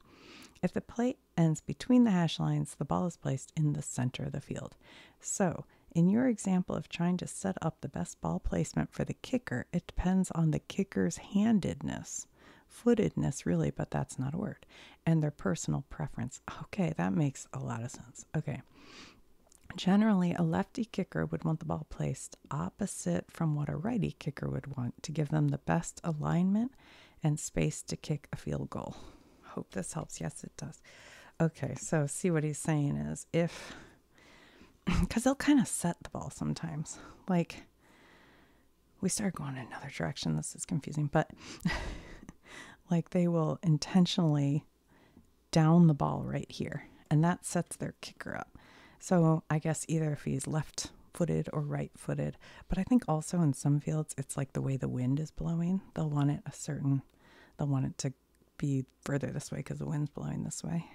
If the play ends between the hash lines, the ball is placed in the center of the field. So, in your example of trying to set up the best ball placement for the kicker. It depends on the kicker's handedness, footedness, really, but that's not a word, and their personal preference. Okay, that makes a lot of sense. Okay. Generally, a lefty kicker would want the ball placed opposite from what a righty kicker would want to give them the best alignment and space to kick a field goal. Hope this helps. Yes, it does. Okay, so see what he's saying is if because they'll kind of set the ball sometimes. Like, we started going in another direction. This is confusing, but like they will intentionally down the ball right here, and that sets their kicker up. So I guess either if he's left footed or right footed, but I think also in some fields it's like the way the wind is blowing. They'll want it a certain, they'll want it to be further this way because the wind's blowing this way.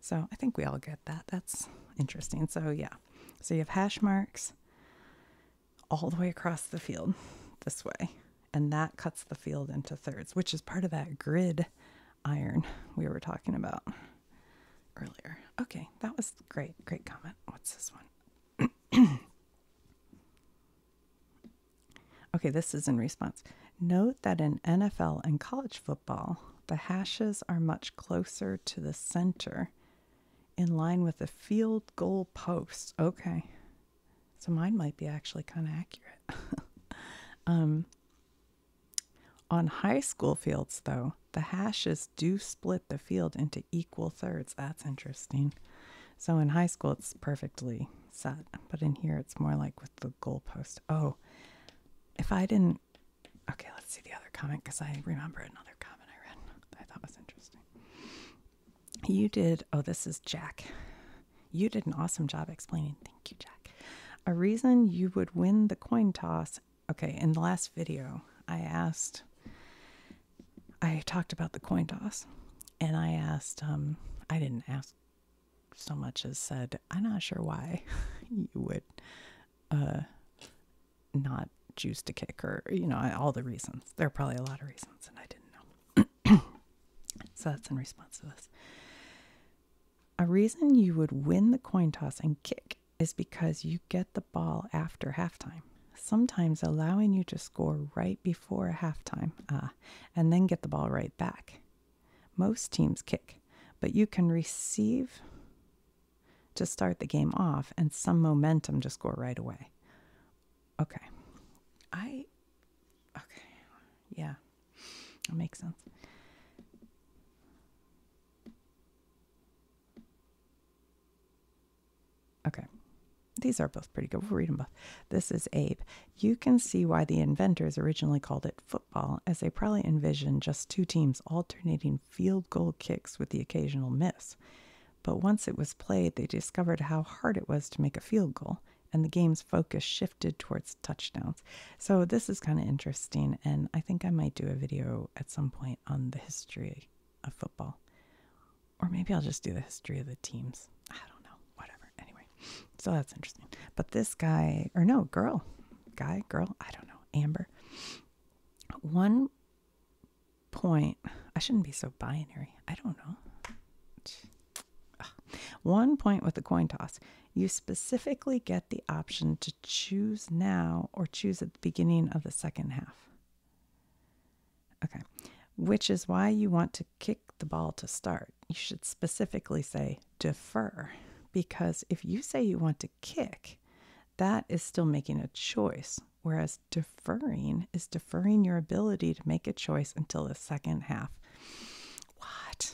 So I think we all get that. That's interesting. So yeah. So you have hash marks all the way across the field this way. And that cuts the field into thirds, which is part of that grid iron we were talking about earlier. Okay, that was great. Great comment. What's this one? okay, this is in response. Note that in NFL and college football, the hashes are much closer to the center in line with the field goal post. Okay. So mine might be actually kind of accurate. Um, on high school fields, though, the hashes do split the field into equal thirds. That's interesting. So in high school, it's perfectly set, but in here, it's more like with the goalpost. Oh, if I didn't Okay, let's see the other comment because I remember another comment I read that I thought was interesting. You did, oh, this is Jack. You did an awesome job explaining. Thank you, Jack. A reason you would win the coin toss. Okay, in the last video, I asked, I talked about the coin toss and I asked, um, I didn't ask so much as said, I'm not sure why you would uh, not choose to kick, or, you know, all the reasons. There are probably a lot of reasons, and I didn't know. so that's in response to this. A reason you would win the coin toss and kick is because you get the ball after halftime, sometimes allowing you to score right before halftime uh, and then get the ball right back. Most teams kick, but you can receive to start the game off and some momentum to score right away. Okay. I okay. Yeah. That makes sense. Okay. These are both pretty good. We'll read them both. This is Abe. You can see why the inventors originally called it football, as they probably envisioned just two teams alternating field goal kicks with the occasional miss. But once it was played, they discovered how hard it was to make a field goal, and the game's focus shifted towards touchdowns. So, this is kind of interesting, and I think I might do a video at some point on the history of football. Or maybe I'll just do the history of the teams. I don't know, whatever. Anyway, so that's interesting. But this guy, or no, girl, guy, girl, I don't know, Amber. One point, I shouldn't be so binary. I don't know. One point with the coin toss. You specifically get the option to choose now or choose at the beginning of the second half. Okay. Which is why you want to kick the ball to start. You should specifically say, defer because if you say you want to kick, that is still making a choice. Whereas deferring is deferring your ability to make a choice until the second half. What?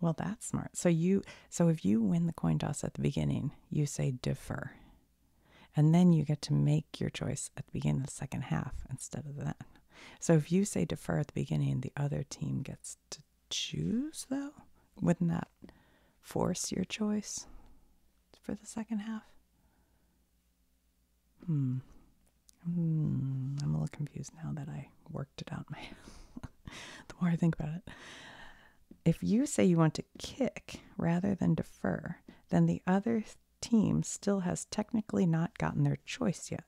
Well, that's smart. So you so if you win the coin toss at the beginning, you say defer. And then you get to make your choice at the beginning of the second half instead of then. So if you say defer at the beginning, the other team gets to choose though? Wouldn't that force your choice for the second half? Hmm. Hmm. I'm a little confused now that I worked it out. My the more I think about it, if you say you want to kick rather than defer, then the other team still has technically not gotten their choice yet.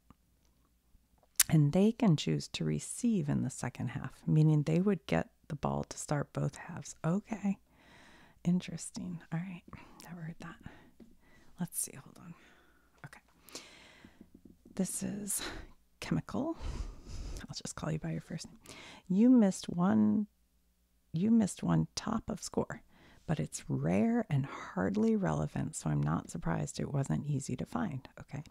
And they can choose to receive in the second half, meaning they would get the ball to start both halves. Okay. Interesting. All right. Never heard that. Let's see. Hold on. Okay. This is chemical. I'll just call you by your first name. You missed one you missed one top of score, but it's rare and hardly relevant, so I'm not surprised it wasn't easy to find. Okay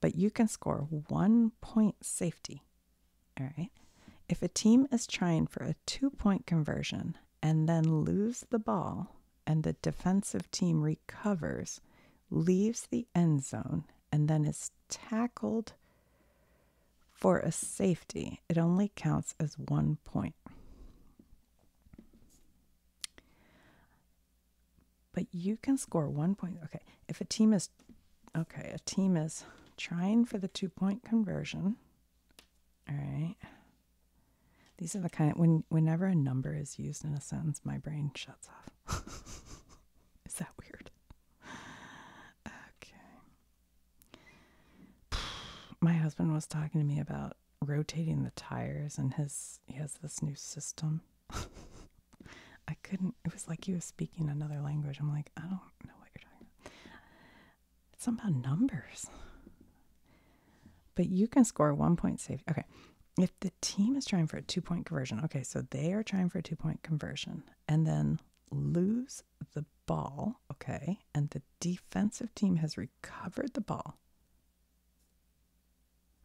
but you can score one point safety. All right. If a team is trying for a two point conversion and then lose the ball and the defensive team recovers, leaves the end zone, and then is tackled for a safety, it only counts as one point. But you can score one point. Okay, if a team is, okay, a team is trying for the two point conversion. All right. These are the kind when whenever a number is used in a sentence, my brain shuts off. is that weird? Okay. My husband was talking to me about rotating the tires and his he has this new system. I couldn't it was like he was speaking another language. I'm like, I don't know what you're talking about. It's about numbers. But you can score one point save. Okay. If the team is trying for a two point conversion, okay, so they are trying for a two point conversion and then lose the ball, okay, and the defensive team has recovered the ball.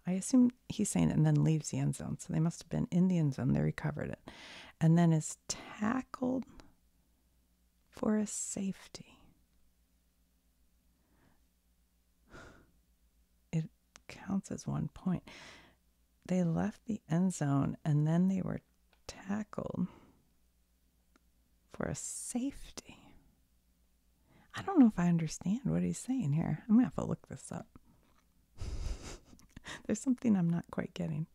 I assume he's saying it and then leaves the end zone. So they must have been in the end zone. They recovered it. And then is tackled for a safety. It counts as one point. They left the end zone and then they were tackled for a safety. I don't know if I understand what he's saying here. I'm going to have to look this up. There's something I'm not quite getting.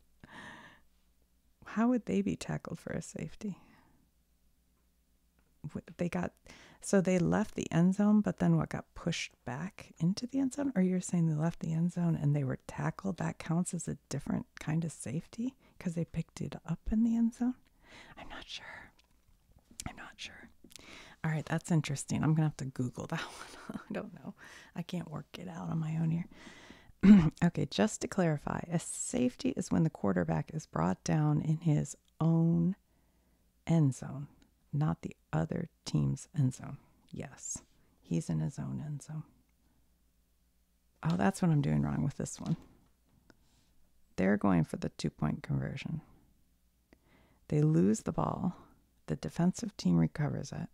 How would they be tackled for a safety? They got so they left the end zone, but then what got pushed back into the end zone? Or you're saying they left the end zone and they were tackled? That counts as a different kind of safety because they picked it up in the end zone? I'm not sure. I'm not sure. All right, that's interesting. I'm gonna have to Google that one. I don't know. I can't work it out on my own here. okay, just to clarify, a safety is when the quarterback is brought down in his own end zone, not the other team's end zone. Yes, he's in his own end zone. Oh, that's what I'm doing wrong with this one. They're going for the two point conversion. They lose the ball. The defensive team recovers it.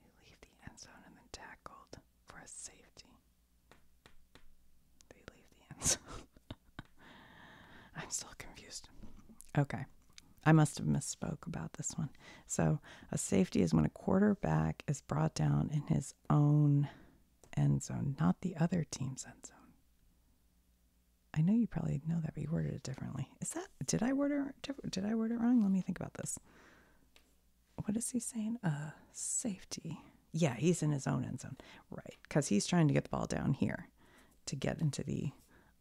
They leave the end zone and then tackled for a safety. They leave the end zone. I'm still confused. Okay. I must have misspoke about this one. So, a safety is when a quarterback is brought down in his own end zone, not the other team's end zone. I know you probably know that, but you worded it differently. Is that did I word it did I word it wrong? Let me think about this. What is he saying? Uh, safety. Yeah, he's in his own end zone, right? Because he's trying to get the ball down here to get into the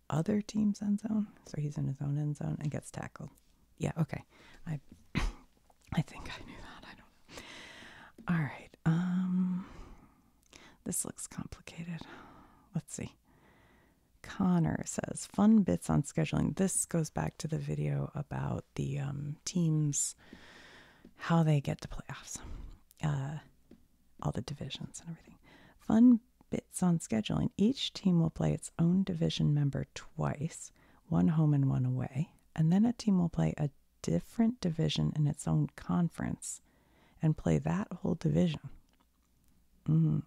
other team's end zone. So he's in his own end zone and gets tackled. Yeah, okay. I I think I knew that. I don't know. All right. Um this looks complicated. Let's see. Connor says, fun bits on scheduling. This goes back to the video about the um, teams, how they get to playoffs, uh, all the divisions and everything. Fun bits on scheduling. Each team will play its own division member twice, one home and one away. And then a team will play a different division in its own conference and play that whole division. Mm-hmm.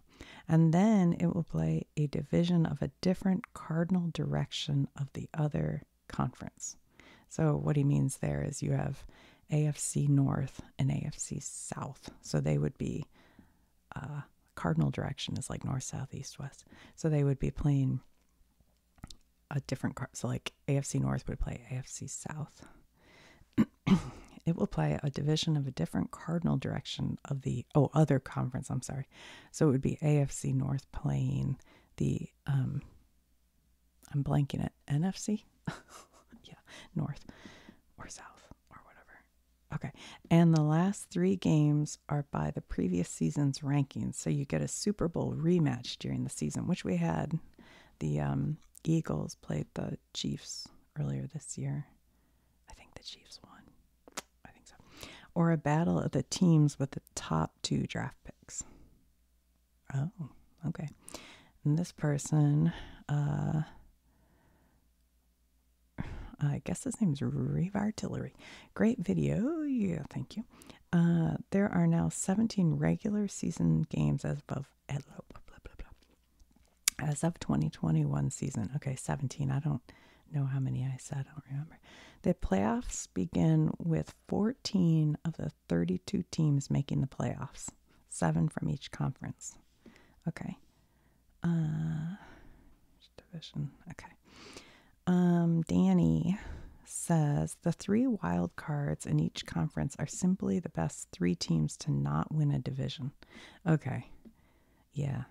And then it will play a division of a different cardinal direction of the other conference. So, what he means there is you have AFC North and AFC South. So, they would be uh, cardinal direction is like north, south, east, west. So, they would be playing a different card. So, like AFC North would play AFC South. it will play a division of a different cardinal direction of the oh other conference. I'm sorry. So it would be AFC North playing the um. I'm blanking it. NFC. yeah, North or South or whatever. Okay. And the last three games are by the previous season's rankings. So you get a Super Bowl rematch during the season, which we had the um, Eagles played the Chiefs earlier this year. I think the Chiefs won. I think so. Or a battle of the teams with the top two draft picks. Oh, okay. And this person, uh, I guess his name is Reeve Artillery. Great video. Yeah, thank you. Uh, there are now 17 regular season games as above as of 2021 season. Okay, 17. I don't know how many I said. I don't remember. The playoffs begin with 14 of the 32 teams making the playoffs, seven from each conference. Okay. Uh, division. Okay. Um, Danny says the three wild cards in each conference are simply the best three teams to not win a division. Okay. Yeah.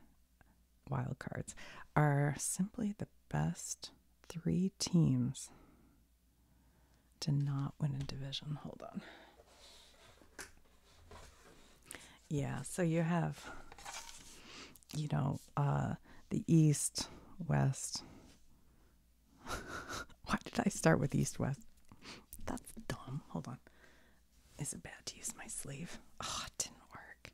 Wild cards are simply the best three teams to not win a division. Hold on. Yeah, so you have, you know, uh, the East, West, Why did I start with east west? That's dumb. Hold on. Is it bad to use my sleeve? Oh, it didn't work.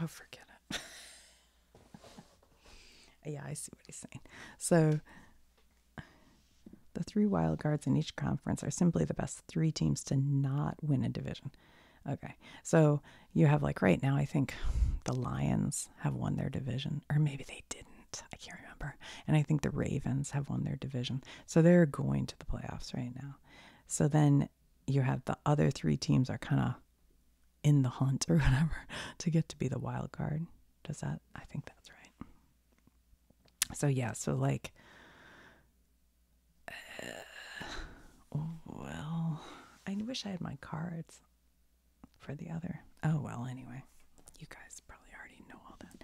Oh, forget it. yeah, I see what he's saying. So, the three wild cards in each conference are simply the best three teams to not win a division. Okay. So you have like right now, I think the Lions have won their division, or maybe they didn't. I can't remember. And I think the Ravens have won their division. So they're going to the playoffs right now. So then you have the other three teams are kind of in the hunt or whatever to get to be the wild card. Does that? I think that's right. So yeah, so like uh, oh, well, I wish I had my cards for the other. Oh, well, anyway, you guys probably already know all that.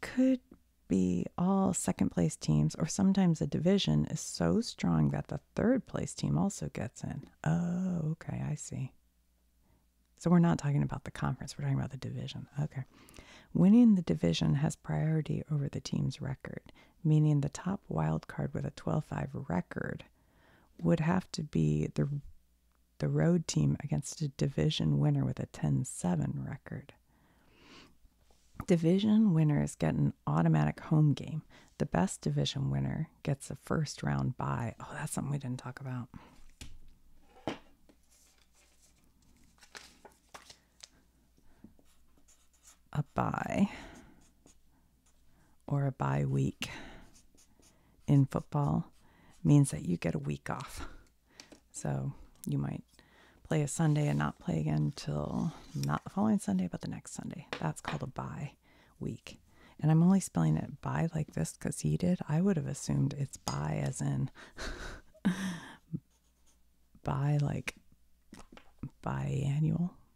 Could be all second place teams, or sometimes a division is so strong that the third place team also gets in. Oh, okay, I see. So we're not talking about the conference, we're talking about the division. Okay. Winning the division has priority over the team's record meaning the top wild card with a 12-5 record would have to be the the road team against a division winner with a 10-7 record. Division winners get an automatic home game. The best division winner gets a first round bye. Oh, that's something we didn't talk about. A bye or a bye week in football means that you get a week off. So you might play a Sunday and not play again till not the following Sunday, but the next Sunday. That's called a bye week. And I'm only spelling it "bye" like this because he did. I would have assumed it's "bye" as in "bye" like biannual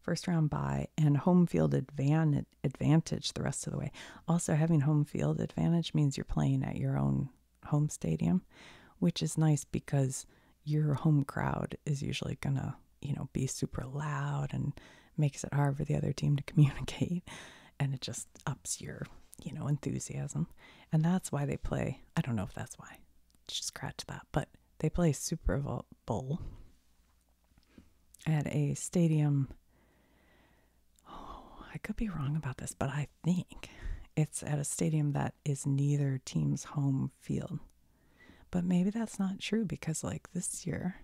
first round bye and home field advantage the rest of the way. Also, having home field advantage means you're playing at your own home stadium, which is nice because your home crowd is usually going to, you know, be super loud and makes it hard for the other team to communicate and it just ups your, you know, enthusiasm. And that's why they play, I don't know if that's why. Just scratch that, but they play Super Bowl at a stadium. Oh, I could be wrong about this, but I think it's at a stadium that is neither team's home field. But maybe that's not true because, like, this year,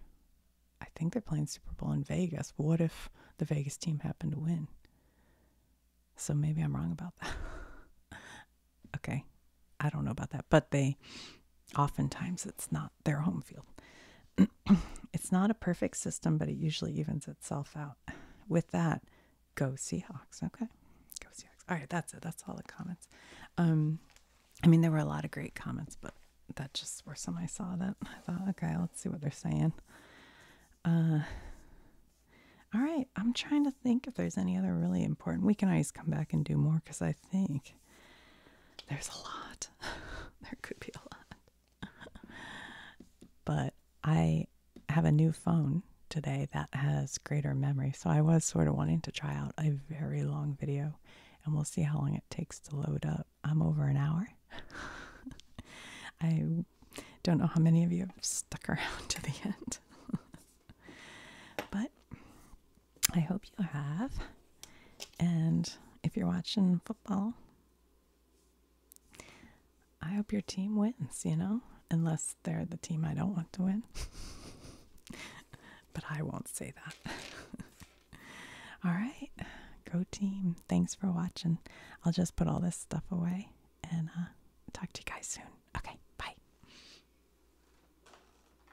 I think they're playing Super Bowl in Vegas. What if the Vegas team happened to win? So maybe I'm wrong about that. okay. I don't know about that, but they oftentimes it's not their home field. it's not a perfect system, but it usually evens itself out. With that, go Seahawks. Okay. Go Seahawks. All right, that's it. That's all the comments. Um, I mean, there were a lot of great comments, but that just were some I saw that I thought, okay, let's see what they're saying. Uh, all right, I'm trying to think if there's any other really important. We can always come back and do more because I think there's a lot. there could be a lot. but I have a new phone today that has greater memory. So I was sort of wanting to try out a very long video and we'll see how long it takes to load up. I'm over an hour. I don't know how many of you have stuck around to the end. but I hope you have. And if you're watching football, I hope your team wins, you know, unless they're the team I don't want to win. but I won't say that. all right. Go team. Thanks for watching. I'll just put all this stuff away and uh, talk to you guys soon. Okay. Bye.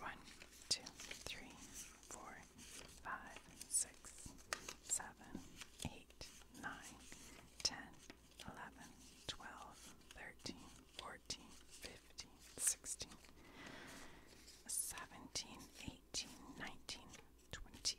One, two, three, four, five, six, seven, eight, nine, ten, eleven, twelve, thirteen, fourteen, fifteen, sixteen, seventeen, 18, 19, 20.